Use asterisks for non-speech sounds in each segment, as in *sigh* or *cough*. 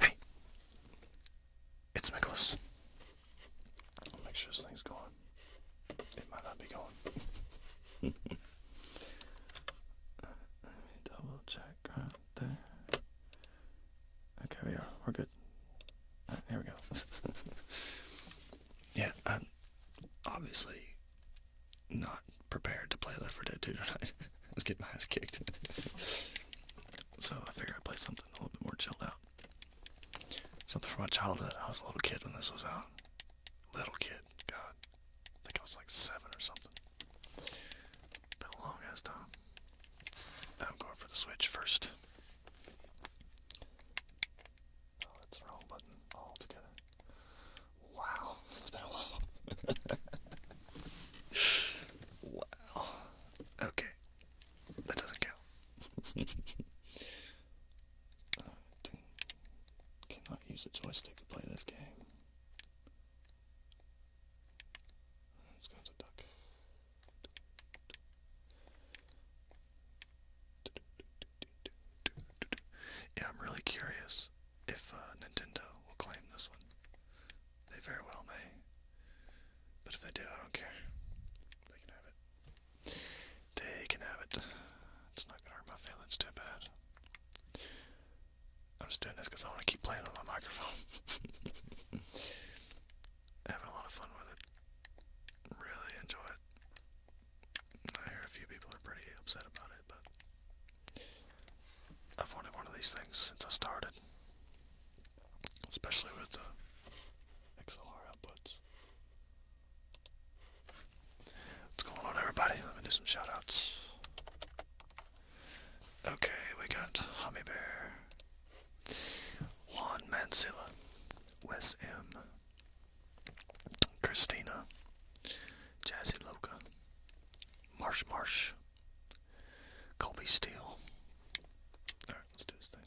Hey, it's Nicholas. make sure this thing's going. It might not be going. *laughs* Let me double check right there. Okay, we are. We're good. here we go. *laughs* Yeah, I'm obviously not prepared to play Left 4 Dead 2 tonight. I was *laughs* getting my ass kicked. *laughs* so I figured I'd play something a little bit more chilled out. Something from my childhood. I was a little kid when this was out. Little kid. God. I think I was like seven or something. Been a long ass time. I'm going for the Switch first. Oh, that's wrong button altogether. Wow, *laughs* it's been a while. wow. Okay, that doesn't count. *laughs* cannot use a joystick to play this game. Let's go to duck. Yeah, I'm really curious if uh, Nintendo will claim this one. They very well may. But if they do, I don't care. They can have it. They can have it. It's not gonna hurt my feelings too bad. I'm just doing this because I want to keep playing on my microphone. *laughs* Having a lot of fun with it. Really enjoy it. I hear a few people are pretty upset about it, but I've wanted one of these things since I started, especially with the XLR outputs. What's going on, everybody? Let me do some shoutouts. Okay, we got Hummy Bear, Juan Mancilla, Wes M. Christina, Jazzy Loca, Marsh Marsh, Colby Steele. Alright, let's do this thing.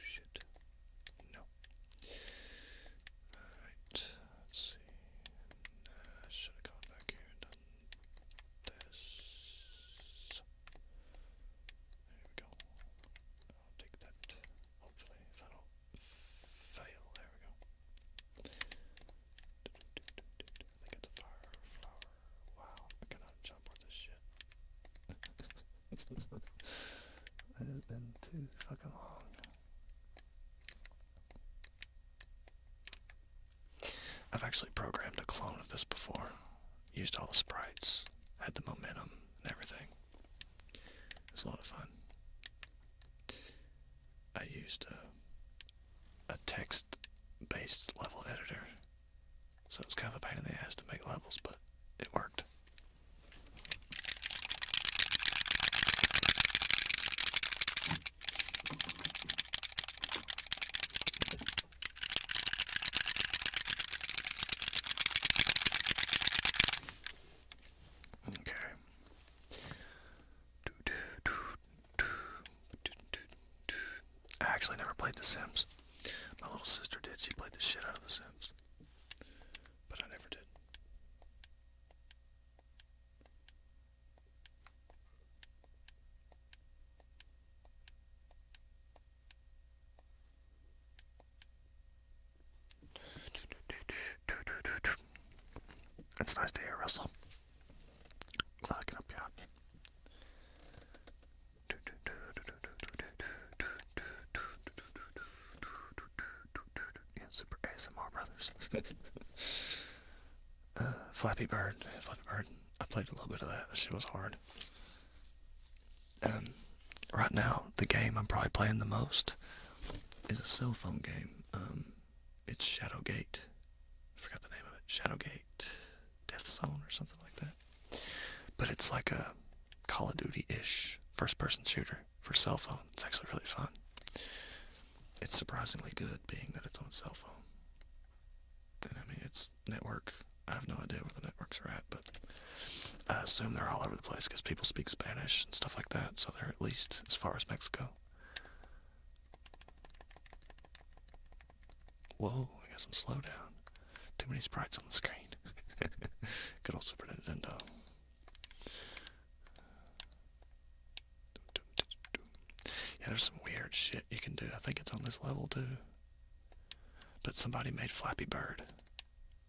Shit. No. Alright, let's see. Uh, should have gone back here and done this. There we go. I'll take that, hopefully, if I fail. There we go. I think it's a fire flower. Wow, I cannot jump on this shit. it *laughs* has been too fucking long. I've actually programmed a clone of this before. Used all the sprites, had the momentum and everything. It's a lot of fun. I used a text based level editor so it's kind of a pain in the ass to make levels, but it worked. Okay. I actually never played The Sims. My little sister did. She played the shit out of The Sims. But I never did. It's nice to hear Russell. Glad I can help you super ASMR brothers. *laughs* Uh, Flappy Bird, Flappy Bird. I played a little bit of that. That shit was hard. Um, right now, the game I'm probably playing the most is a cell phone game. Um, it's Shadowgate. forgot the name of it. Shadowgate. Death Zone or something like that. But it's like a Call of Duty-ish first-person shooter for cell phone. It's actually really fun. It's surprisingly good, being that it's on cell phone. And I mean, it's network. I have no idea where the networks are at, but I assume they're all over the place because people speak Spanish and stuff like that, so they're at least as far as Mexico. Whoa, I got some slowdown. Too many sprites on the screen. *laughs* Good old Super Nintendo. Yeah, there's some weird shit you can do. I think it's on this level too. But somebody made Flappy Bird.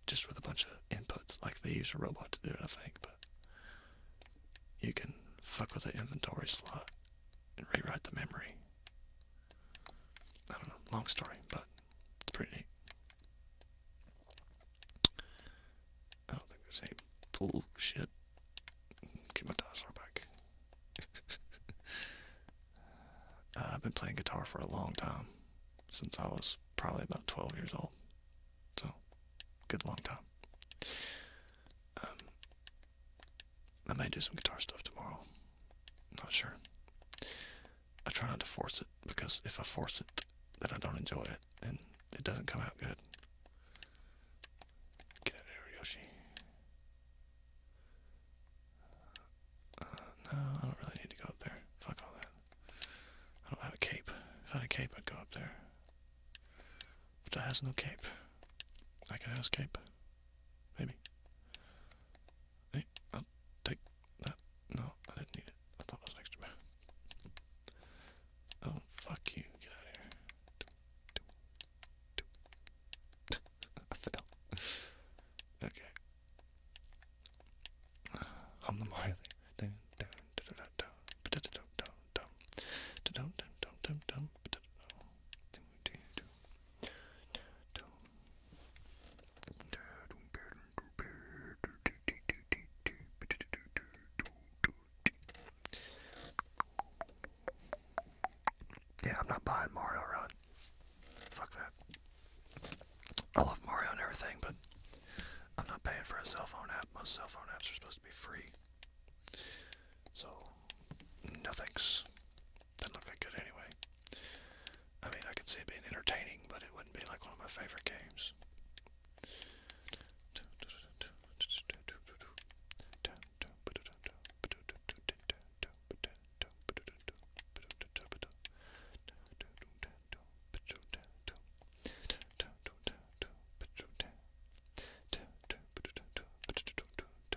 Just with a bunch of inputs. Like they use a robot to do it, I think. But you can fuck with the inventory slot and rewrite the memory. I don't know, long story, but it's pretty neat. I don't think there's any bullshit. Get my dinosaur back. *laughs* Uh, I've been playing guitar for a long time, since I was probably about 12 years old. So, good long time. Um, I may do some guitar stuff tomorrow. not sure. I try not to force it because if I force it, then I don't enjoy it and it doesn't come out good. Get out of no, I don't really need to go up there. Fuck all that. I don't have a cape. If I had a cape, I'd go up there. But I has no cape. I can have a cape. Maybe. Hey, I'll take that. No, I didn't need it. I thought it was an extra Oh, fuck you. Get out here. I fell. okay. Yeah, I'm not buying Mario Run. Fuck that. I love Mario and everything, but I'm not paying for a cell phone app. Most cell phone apps are supposed to be free. So, no didn't look that good anyway. I mean, I could see it being entertaining, but it wouldn't be like one of my favorite games.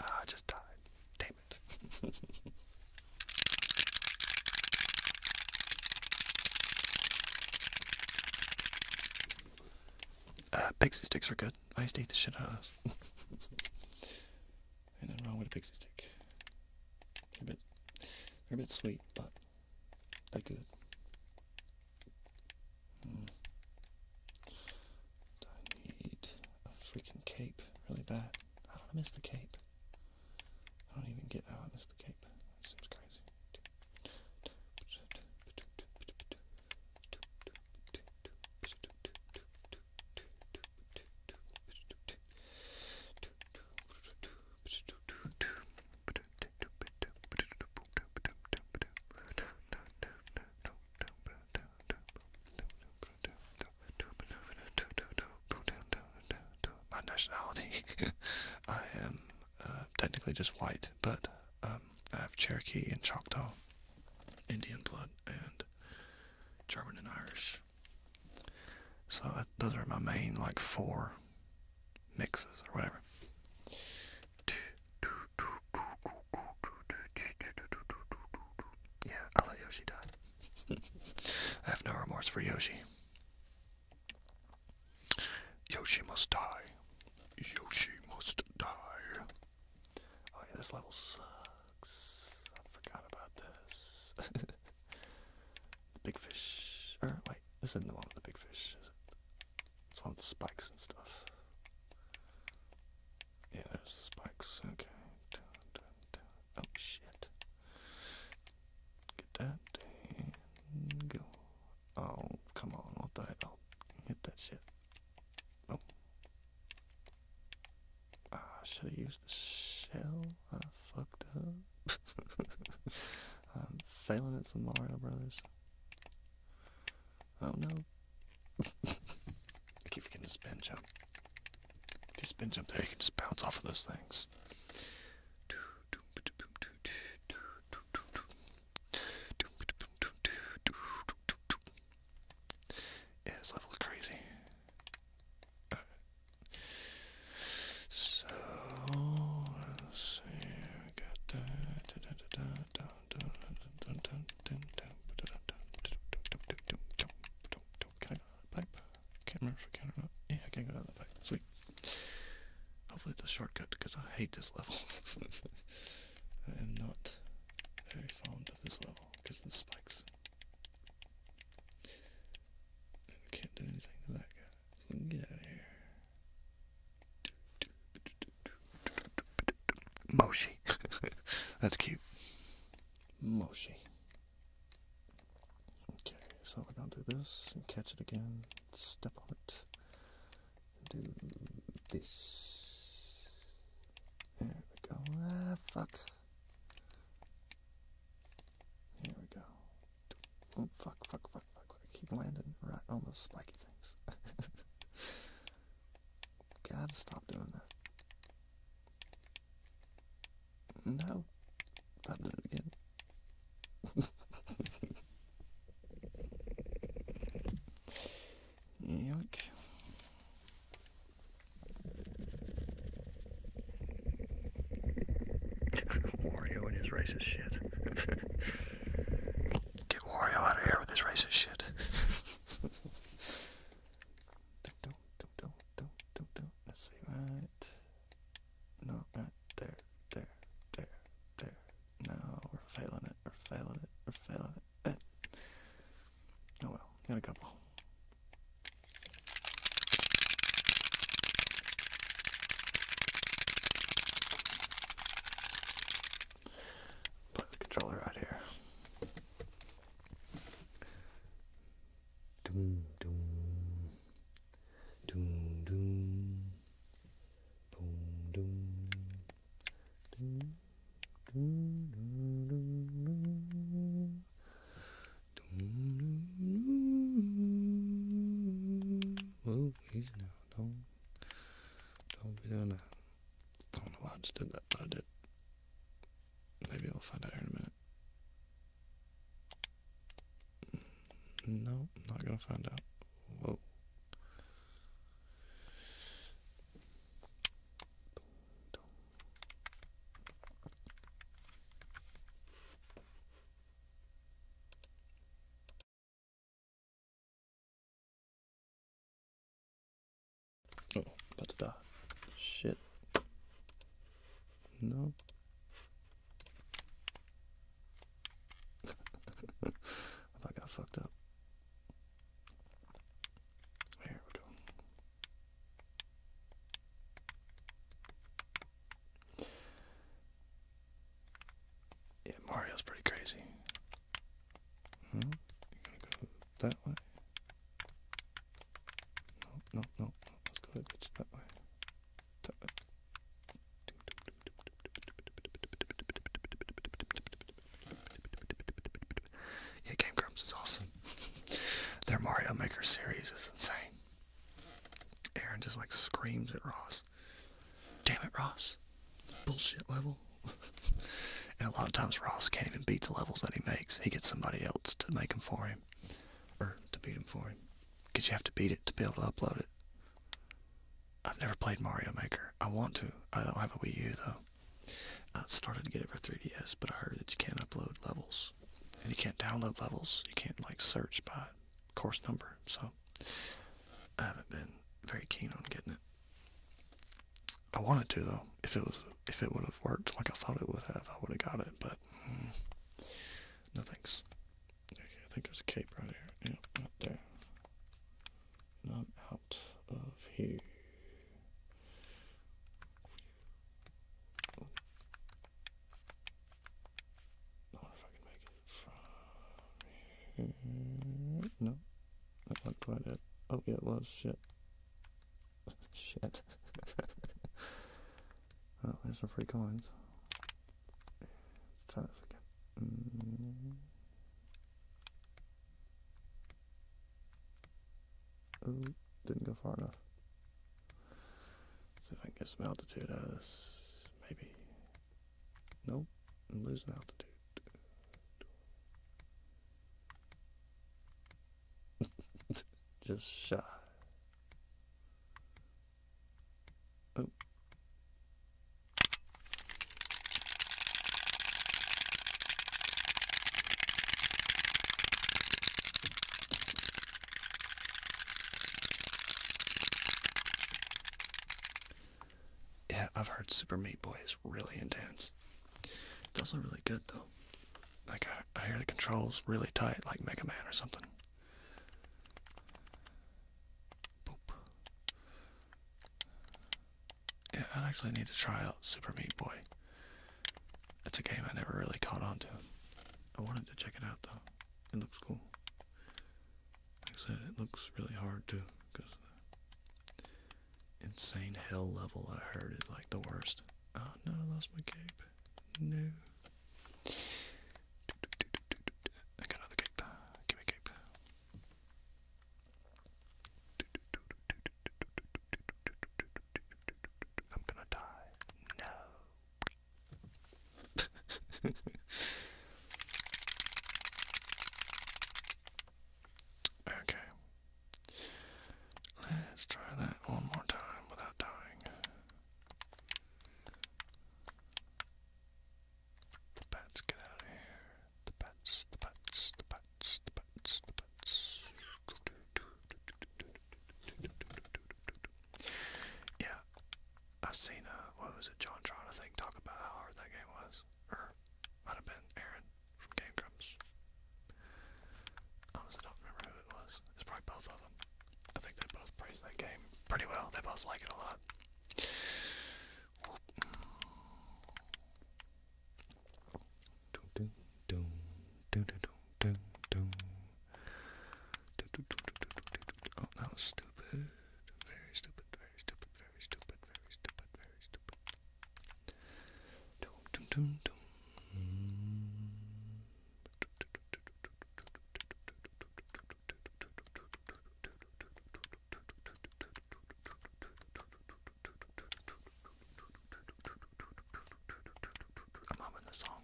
Ah, just died. Damn it. *laughs* uh, pixie sticks are good. I used to eat the shit out of those. *laughs* Ain't nothing wrong with a pixie stick. They're a bit, they're a bit sweet, but they're good. I hmm. need a freaking cape really bad. How did I miss the cape? I don't even get how I missed the cape. That crazy. *laughs* My nationality, *laughs* I am uh, technically just white, but um, I have Cherokee and Choctaw, Indian blood, and German and Irish. So uh, those are my main like four mixes or whatever. Yeah, I let Yoshi die. *laughs* I have no remorse for Yoshi. Yoshi must die. Yoshi must die. Oh yeah, this level uh, I forgot about this. *laughs* the big fish. Or, er, wait, isn't the one with the big fish, is it? It's one with spikes and stuff. Yeah, there's spikes. Okay. Oh, shit. Get that. go. Oh, come on. What the hell? Hit that shit. Oh. Ah, should have used the shell? I ah, fucked up. *laughs* I'm failing at some Mario Brothers. Oh no. *laughs* keep getting to spin jump. If you spin jump there, you can just bounce off of those things. this level crazy. All right. So let's see, we got that. Can I go down the pipe? Can't remember if I can or not. Yeah, I can go down the pipe. Sweet. Hopefully it's a shortcut because I hate this level. *laughs* I am not very fond of this level because of the spikes. Can't do anything to that guy. So we can get out of here. Moshi. *laughs* That's cute. Moshi. Okay, so we're gonna do this and catch it again. Step on it. Do this. There we go. Ah, fuck. Here we go. Oh, fuck, fuck, fuck, fuck. I keep landing right on those spiky things. *laughs* Gotta stop doing that. No. I did it again. *laughs* Yuck. *laughs* Wario and his racist shit. *laughs* Get Wario out of here with his racist shit. Let's see, right. No, right there, there, there, there. No, we're failing it, we're failing it, we're failing it. Oh well, got a couple. Put the controller out here. Doom, doom, doom, doom, boom, doom, doom. Don't, be doing that. I don't know why I just did that, but I did. Maybe I'll find out here in a minute. No, not gonna find out. Oh, about to Shit. No. *laughs* I got fucked up. Here we go. Yeah, Mario's pretty crazy. Hmm? you're gonna go that way. No, no, no, Let's go that way. That way. Yeah, Game Grumps is awesome. Their Mario Maker series is insane. Aaron just like screams at Ross. Damn it, Ross. Bullshit level. *laughs* and a lot of times Ross can't even beat the levels that he makes. He gets somebody else to make them for him. Or to beat them for him. Because you have to beat it to be able to upload it. I've never played Mario Maker. I want to. I don't have a Wii U though. I started to get it for 3DS, but I heard that you can't upload levels. And you can't download levels. You can't, like, search by course number. So, I haven't been very keen on getting it. I wanted to, though. If it was, if it would have worked like I thought it would have, I would have got it, but mm, no thanks. Okay, I think there's a cape right here. Yeah, right there. I'm out of here. I wonder if I can make it from here. No, not quite it. Oh, yeah, it was. Shit. *laughs* Shit. *laughs* oh, there's some free coins. Let's try this again. Mm. Oh, didn't go far enough. see if I can get some altitude out of this. Maybe. Nope, I'm losing altitude. *laughs* Just shy. Oh. Yeah, I've heard Super Meat Boy is really intense. It does look really good though. Like I, I hear the controls really tight, like Mega Man or something. Boop. Yeah, I actually need to try out Super Meat Boy. It's a game I never really caught on to. I wanted to check it out though. It looks cool. Like I said, it looks really hard too because insane hell level I heard is like the worst. Oh no, I lost my cape. No. I got another cape. Give me cape. I'm gonna die. No. *laughs* okay. Let's try that one more time without dying. The bats get out of here. The bats, the bats, the bats. Yeah, i seen, uh, what was it, John Tron, I think, talk about how hard that game was. Or, might have been Aaron from Game Grumps. I don't remember who it was. It's probably both of them. I think they both praised that game pretty well. They both like it a lot. Oh, that was stupid. Very stupid, very stupid, very stupid, very stupid, very stupid. Dum, dum, dum, I'm humming the song.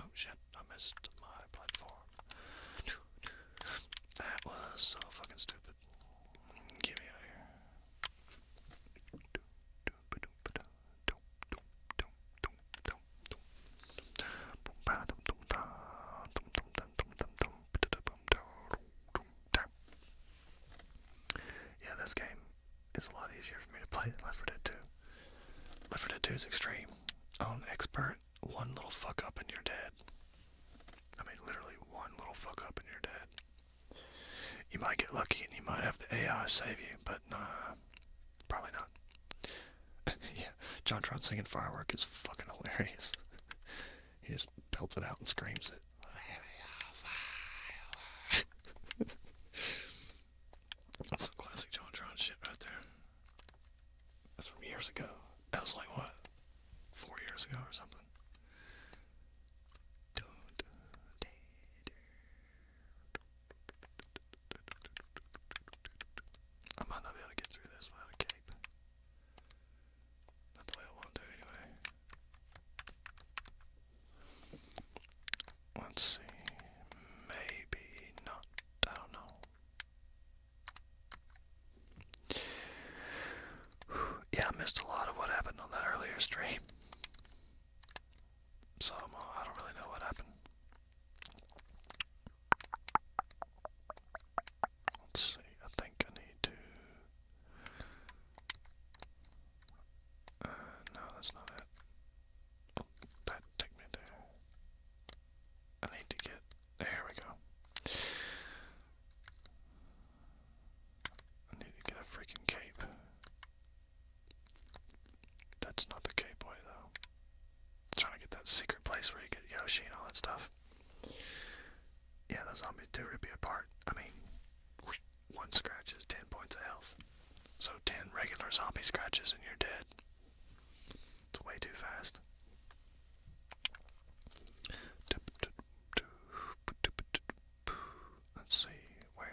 Oh shit, I missed my platform. That was so fucking stupid. Get me out of here. Yeah, this game is a lot easier for me to play than Left 4 Dead 2. Left 4 Dead 2 is extreme. On um, expert, one little fuck up and you're dead. I mean, literally one little fuck up and you're dead. You might get lucky and you might have the AI save you, but nah, probably not. *laughs* yeah, John Tron singing Firework is fucking hilarious. he just belts it out and screams it. *laughs* That's some classic John Tron shit right there. That's from years ago. That was like what? Four years ago or something. I might not be able to get through this without a cape. Not the I want to anyway. Let's see. Maybe not. I don't know. *sighs* Yeah, I missed a lot of what happened on that earlier stream. So uh, I don't really know what happened. Let's see, I think I need to. Uh, no, that's not it. that took me there. I need to get. There we go. I need to get a freaking cape. That's not the K Boy, though. trying to get that secret place where you get Yoshi and all that stuff. Yeah, those zombies do rip you apart. I mean, one scratch is 10 points of health. So 10 regular zombie scratches and you're dead. It's way too fast. Let's see, where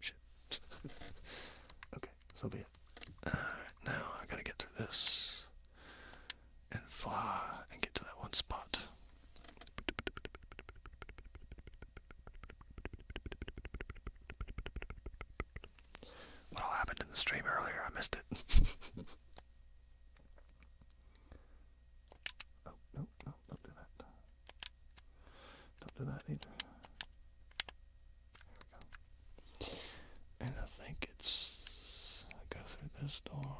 Shit. *laughs* okay, so be it. Alright, now I gotta get through this and fly and get to that one spot. What all happened in the stream earlier? I missed it. *laughs* oh, no, no, don't do that. Don't do that either. And I think it's, go through this door,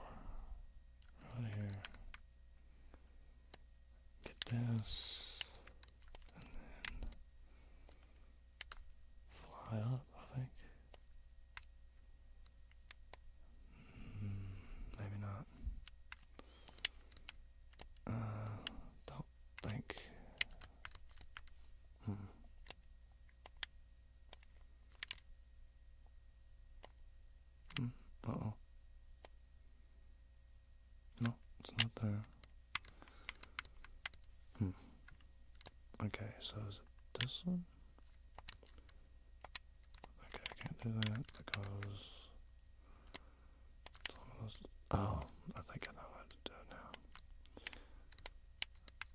right here, get this, and then fly up, I think. Mm, maybe not. Uh, don't think. Hmm. Hmm. Uh oh. No, it's not there. Hmm. Okay, so is it this one? Okay, I can't do that because oh, I think I know how to do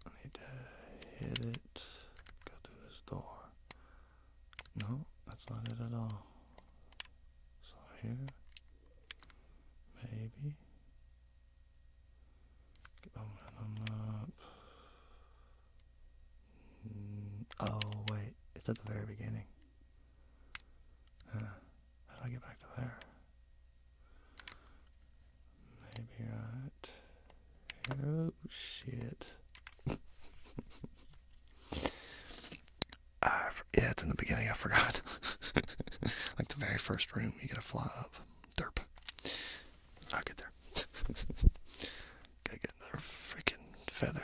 now. need to hit it, go through this door. No, that's not it at all. So here, maybe. Get momentum mm, up. Oh, wait, it's at the very beginning how do I get back to there? Maybe right. Oh shit. *laughs* yeah, it's in the beginning. I forgot. *laughs* like the very first room, you gotta fly up. Derp. I'll get there. *laughs* gotta get another freaking feather.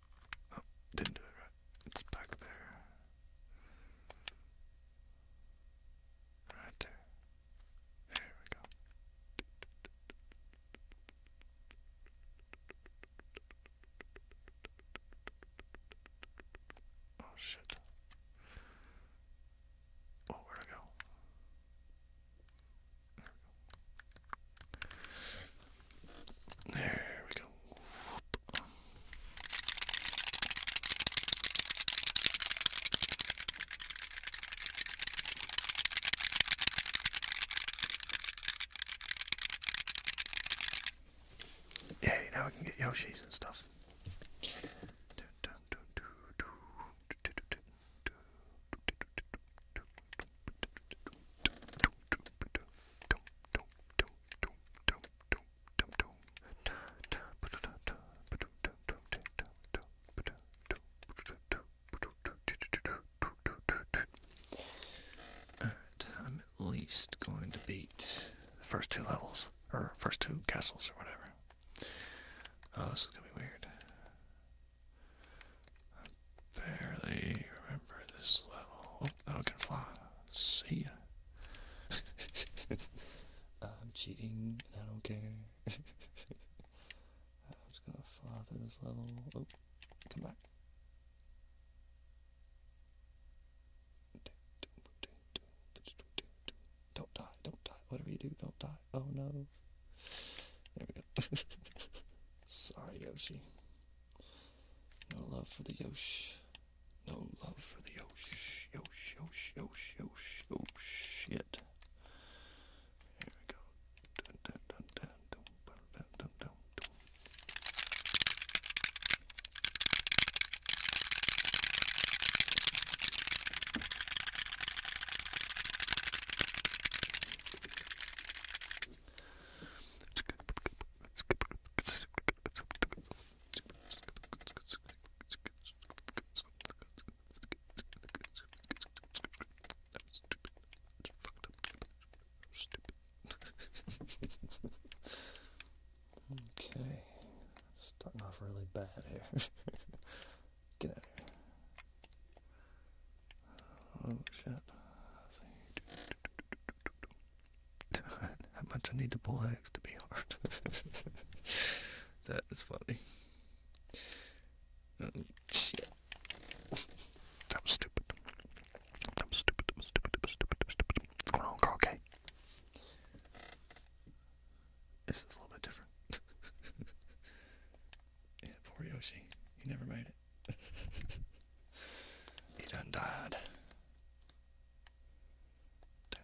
Oh, didn't do it right. It's back there. Right there. There we go. Oh shit. Oh, where'd I go? There we go. There we go. Whoop. now we can get Yoshis and stuff. Alright, I'm at least going to beat the first two levels, or first two castles, or whatever. Oh, this is gonna be weird. I barely remember this level. Oh, I can fly. See ya. *laughs* I'm cheating. I don't care. *laughs* I'm just gonna fly through this level. Oh, come back. Don't die, don't die. Whatever you do, don't die. Oh no. There we go. *laughs* Sorry, Yoshi. No love for the Yosh. No love for the Yosh. Yosh, Yosh, Yosh, Yosh, oh shit. Here we go okay, starting off really bad here. *laughs* Get out of here. Oh shit. Let's see. *laughs* How much I need to pull eggs to be hard. *laughs* that is funny. Um, that was stupid. That was stupid. That stupid. stupid. stupid. What's going on, girl? This is a little bit different. *laughs* yeah, poor Yoshi. He never made it he done died. Damn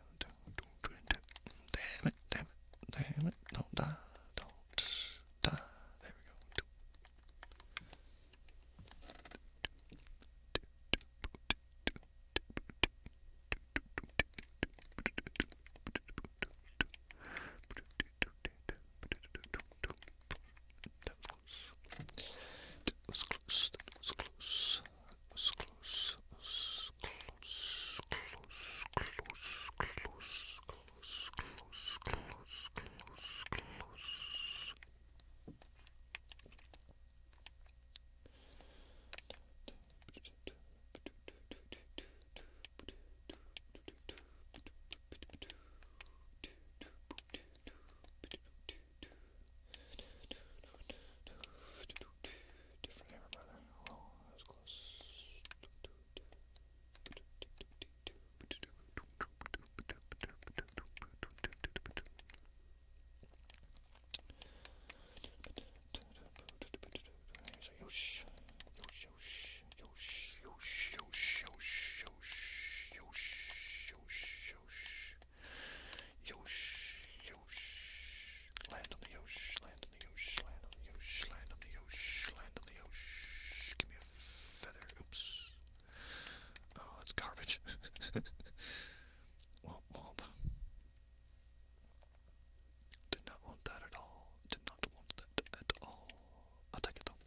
it, damn it, damn it. Don't die, don't die. There we go. That was close. That was close. That was close. That was close. That was close. Close. Close. Close. Close. Close. Close. Close. Close. Different hammer, brother. Oh, that was close. There's a yosh, yosh, yosh. Yosh, yosh, yosh, yosh, yosh, yosh, yosh, yosh. Yosh, yosh. Land on the yosh, land on the yosh, land on the yosh, land on the yosh, land on the yosh. Give me a feather. Oops. Oh, that's garbage. Womp womp. Did not want that at all. Did not want that at all. I'll take it though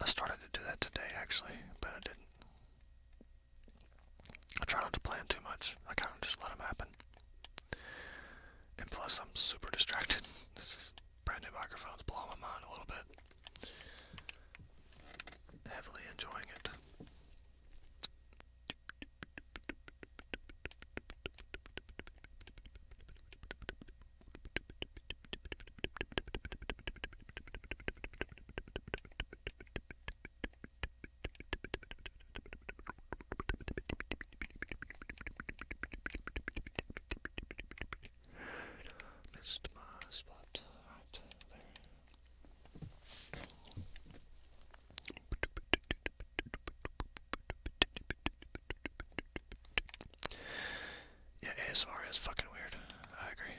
I started to do that today actually, but I didn't. I try not to plan too much. I kind of just let them happen. And plus, I'm super distracted. *laughs* this brand new microphone's blowing my mind a little bit. Heavily enjoying it. Missed my spot right there. Yeah, ASMR is fucking weird. I agree.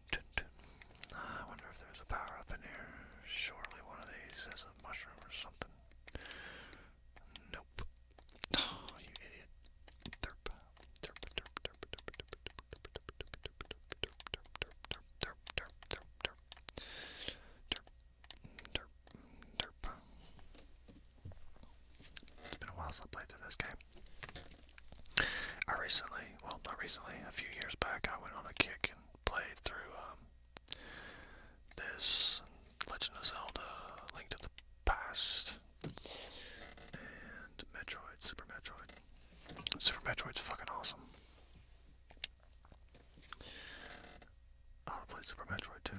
I wonder if there's a power up in here. Surely one of these is a mushroom or something. Nope. Oh, you idiot. It's been a while since I played this game. I recently, well, not recently, a few years back, I went on a kick and played through um, this Legend of Zelda, Link to the Past, and Metroid, Super Metroid. Super Metroid's fucking awesome. I want to play Super Metroid too.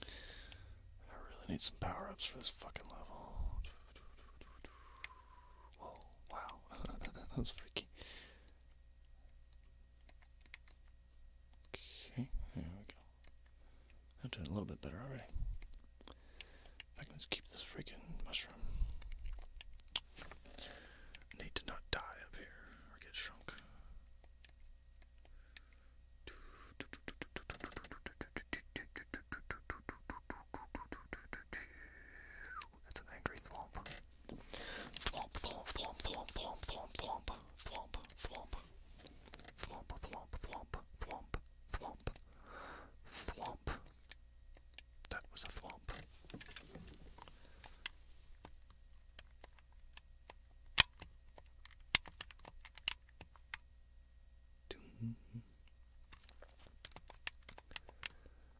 I really need some power ups for this fucking level. Whoa, wow. *laughs* that was freaky. Okay, there we go. I'm doing a little bit better already. I can just keep this freaking mushroom. need to not die up here or get shrunk. That's an angry thwomp. Thwomp, thwomp, thwomp, thwomp, thwomp, thwomp, thwomp, thwomp, thwomp, thwomp, thwomp, thwomp, thwomp, thwomp, thwomp. That was a thwomp.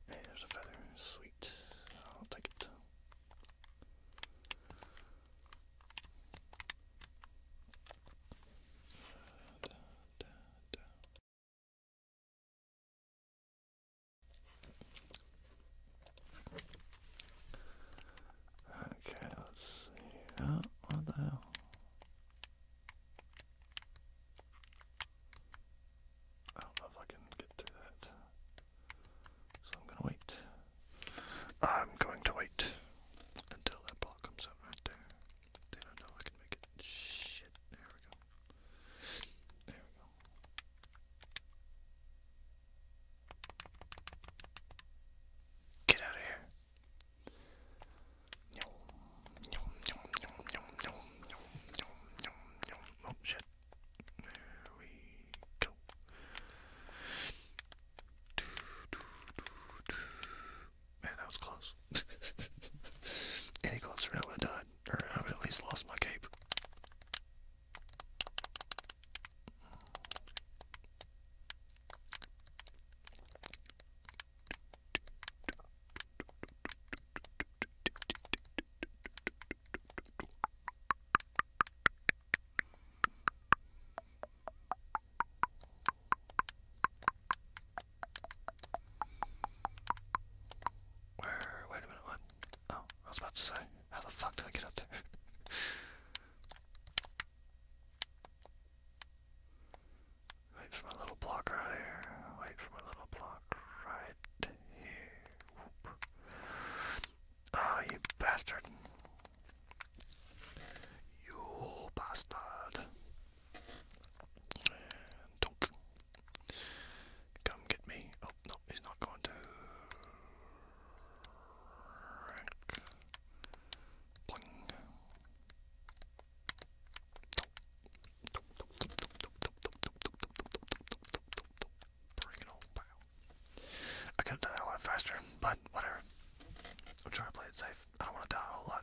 Hey, there's a feather. Sweet. I'll take it. Okay, let's see. Oh, what the hell? I don't know if I can get through that. So I'm gonna wait. I'm going to wait until that block comes out right there. I know I can make it. Shit. There we go. There we go. Get out of here. Oh shit. There we go. Man, that was close. Any closer, I would have died. Or I would have at least lost my cape. Where, wait a minute, what? Oh, I was about to say, how the fuck do I get up there? *laughs* Wait for my little block right here. Wait for my little block right here. Whoop. Ah, you bastard. You bastard. Come get me. Oh, no, he's not going to. Boing. Bring it on, pow. I could have done that a lot faster, but whatever. I'm trying to play it safe. I don't want to die a whole lot.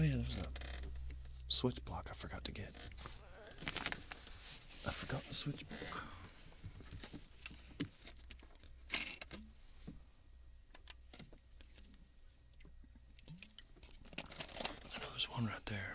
Oh yeah, there's a switch block I forgot to get. I forgot the switch block. I know there's one right there.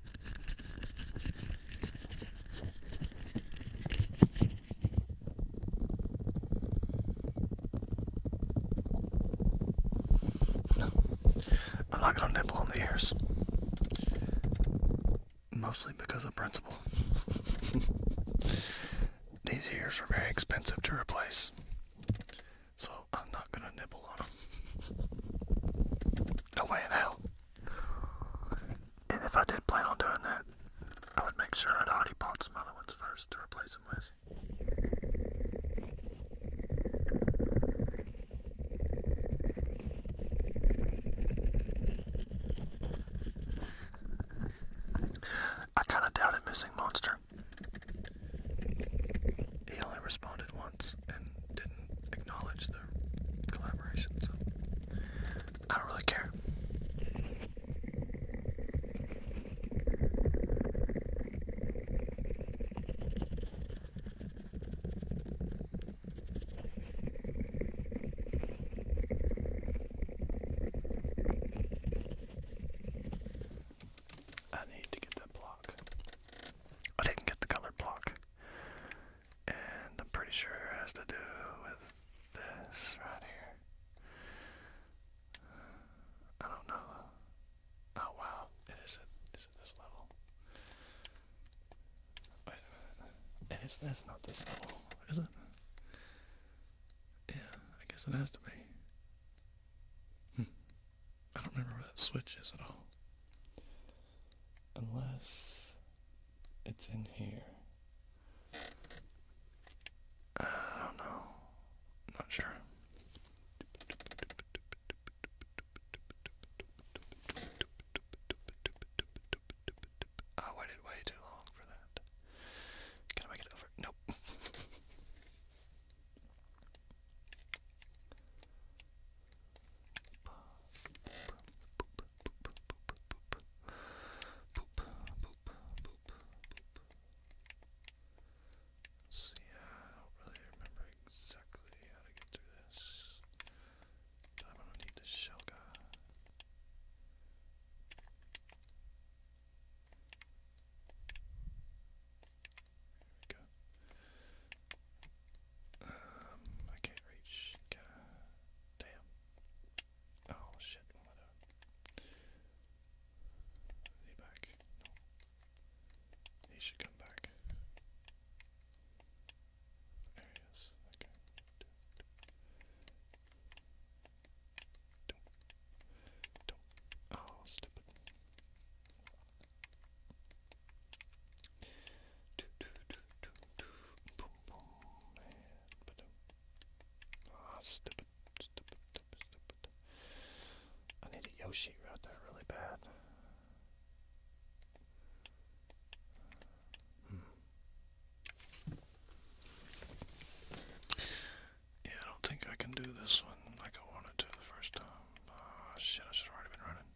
I'm not gonna nibble on the ears. Mostly because of principle. *laughs* These ears are very expensive to replace, so I'm not gonna nibble on them. No way in hell. And if I did plan on doing that, I would make sure I'd already bought some other ones first to replace them with. I kinda doubted missing Monster. He only responded once and didn't acknowledge the collaboration, so I don't really care. I need to get that block. I didn't get the colored block. And I'm pretty sure it has to do with this right here. I don't know. Oh wow, it is at, is this level. Wait a minute. It is that's not this level, is it? Yeah, I guess it has to be. Hmm. I don't remember where that switch is at all unless it's in here. I don't know. not sure. I waited way too long for that. Can I make it over? Nope. *laughs* Let's see, I don't really remember exactly how to get through this. I'm gonna need the shell um, I can't reach. Can I? Damn. Oh shit, what up? Is he back? No. He should come back. There he is. Okay. Don't. Don't. Oh, stupid. Ah, I need a Yoshi right there really bad. Hmm. Yeah, I don't think I can do this one like I wanted to the first time. Ah, shit, I should have already been running.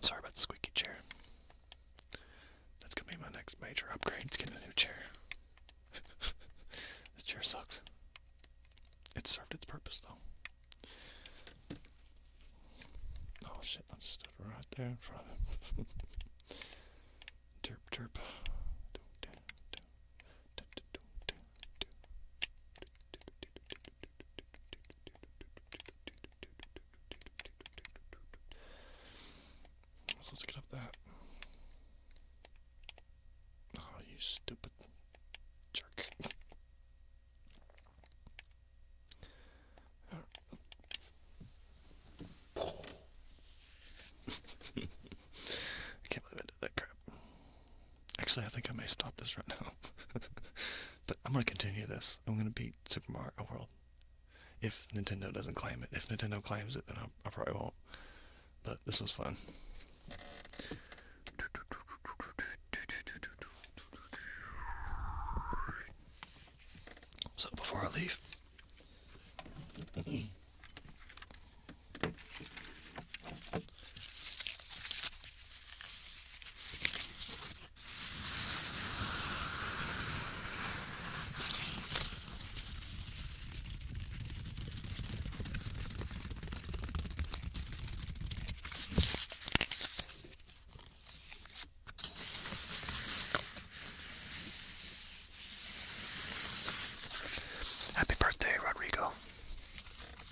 Sorry about the squeaky chair. That's gonna be my next major upgrade. Let's get a new chair. *laughs* this chair sucks. It served its purpose though. Oh shit, I stood right there in front of it. *laughs* derp derp let's get up that. Oh, you stupid jerk. *laughs* I can't believe I did that crap. Actually, I think I may stop this right now. *laughs* but I'm going to continue this. I'm going to beat Super Mario World. If Nintendo doesn't claim it. If Nintendo claims it, then I, probably won't. But this was fun. So before I leave... *clears throat* Happy birthday, Rodrigo.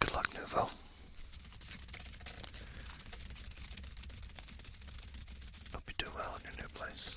Good luck, Nouveau. Hope you do well in your new place.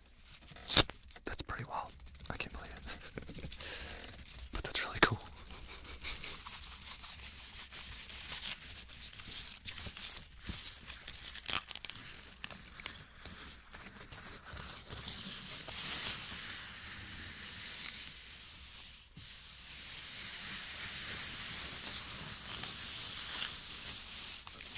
That's pretty wild. I can't believe it. *laughs* but that's really cool.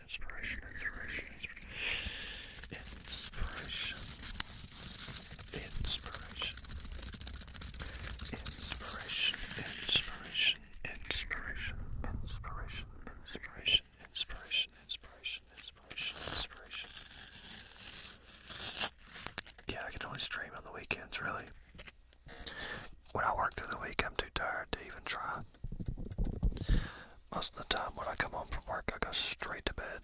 inspiration, inspiration, inspiration, inspiration, inspiration, inspiration, inspiration, inspiration, inspiration, inspiration, inspiration, Yeah, I can only stream on the weekends, really. When I work through the week, I'm too tired to even try. Most of the time when I come home from work, I go straight to bed.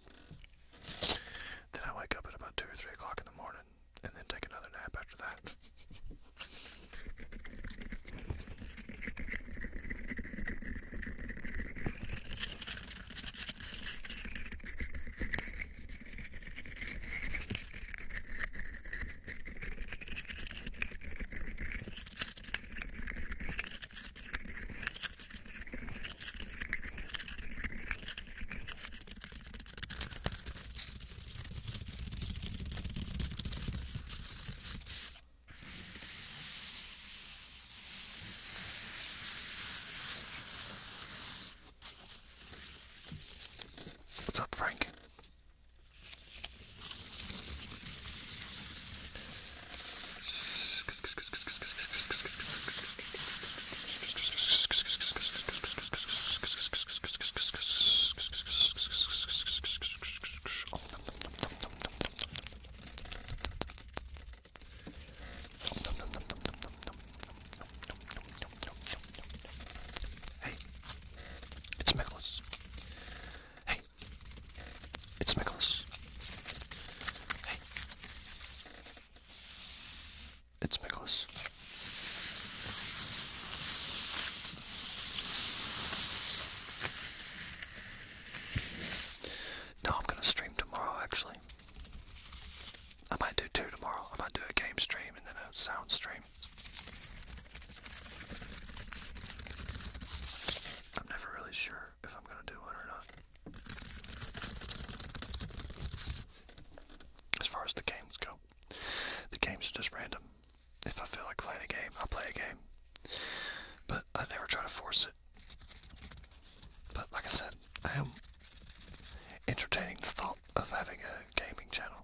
Then I wake up at about 2 or 3 o'clock in the morning and then take another nap after that. What's up, Frank? Hey, it's Nicholas. Hey, it's Nicholas. Hey. It's Nicholas. No, I'm gonna stream tomorrow actually. I might do two tomorrow. I might do a game stream and then a sound stream. I'm never really sure if I'm gonna do one or not. As far as the games go, the games are just random. If I feel like playing a game, I'll play a game. But I never try to force it. But like I said, I am entertaining the thought of having a gaming channel.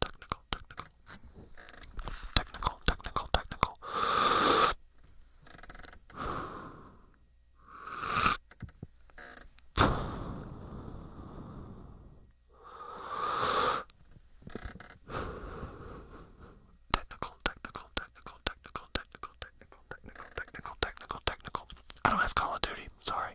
technical, technical, technical, technical, technical. Technical, technical, technical, technical, technical, technical, technical, technical, technical, technical. I don't have Call of Duty, sorry.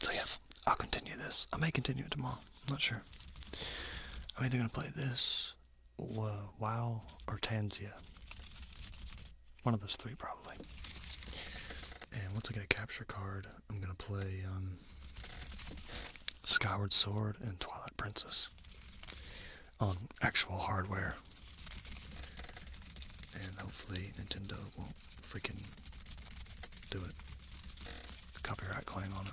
So yeah, I'll continue this. I may continue it tomorrow. I'm not sure. I'm either gonna play this, WoW, or Tanzia. One of those three probably. And once I get a capture card, I'm gonna play um, Scoured Sword and Twilight Princess on actual hardware. And hopefully Nintendo won't i freaking do it. Copyright claim on it.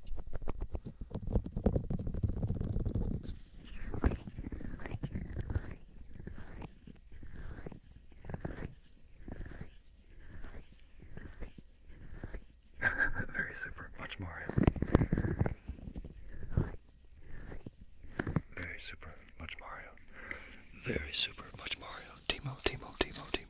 *laughs* Very super, much more. Very super, much Mario. Very super, much Mario. Timo, Timo, Timo, Timo.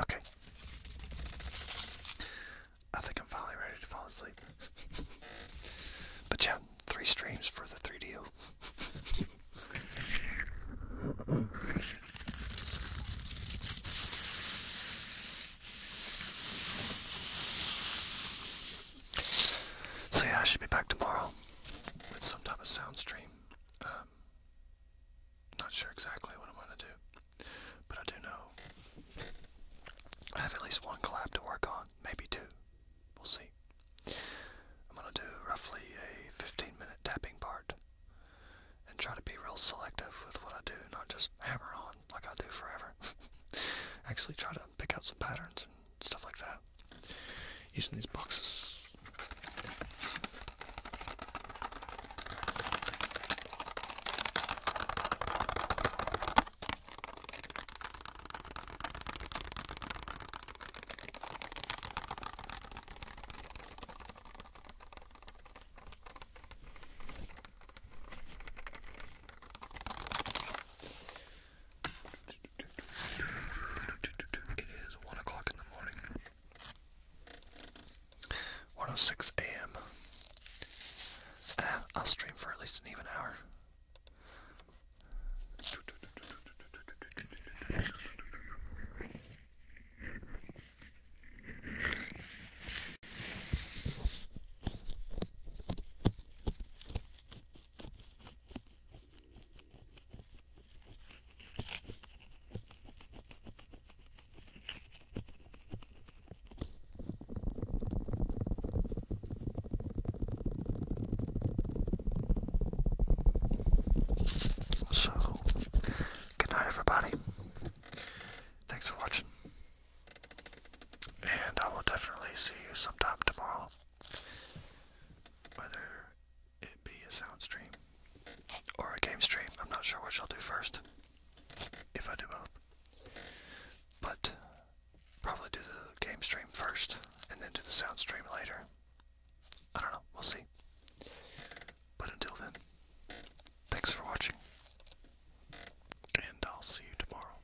Okay. I think I'm finally ready to fall asleep. *laughs* but yeah, three streams for the 3DO. So yeah, I should be back tomorrow with some type of sound stream. Um, not sure exactly what I'm gonna do, but I do know I have at least one collab to work on, maybe two. We'll see. I'm gonna do roughly a 15 minute tapping part and try to be real selective with what I do, not just hammer on like I do forever. *laughs* Actually, try to pick out some patterns stuff like that using these boxes. It is 1 o'clock in the morning. 106 a.m. Ah, I'll stream for at least an even hour. So, good night, everybody. Thanks for watching. And I will definitely see you sometime tomorrow whether it be a sound stream or a game stream. I'm not sure what I'll do first, if I do both. But probably do the game stream first and then do the sound stream later. I don't know, we'll see. But until then, thanks for watching, and I'll see you tomorrow.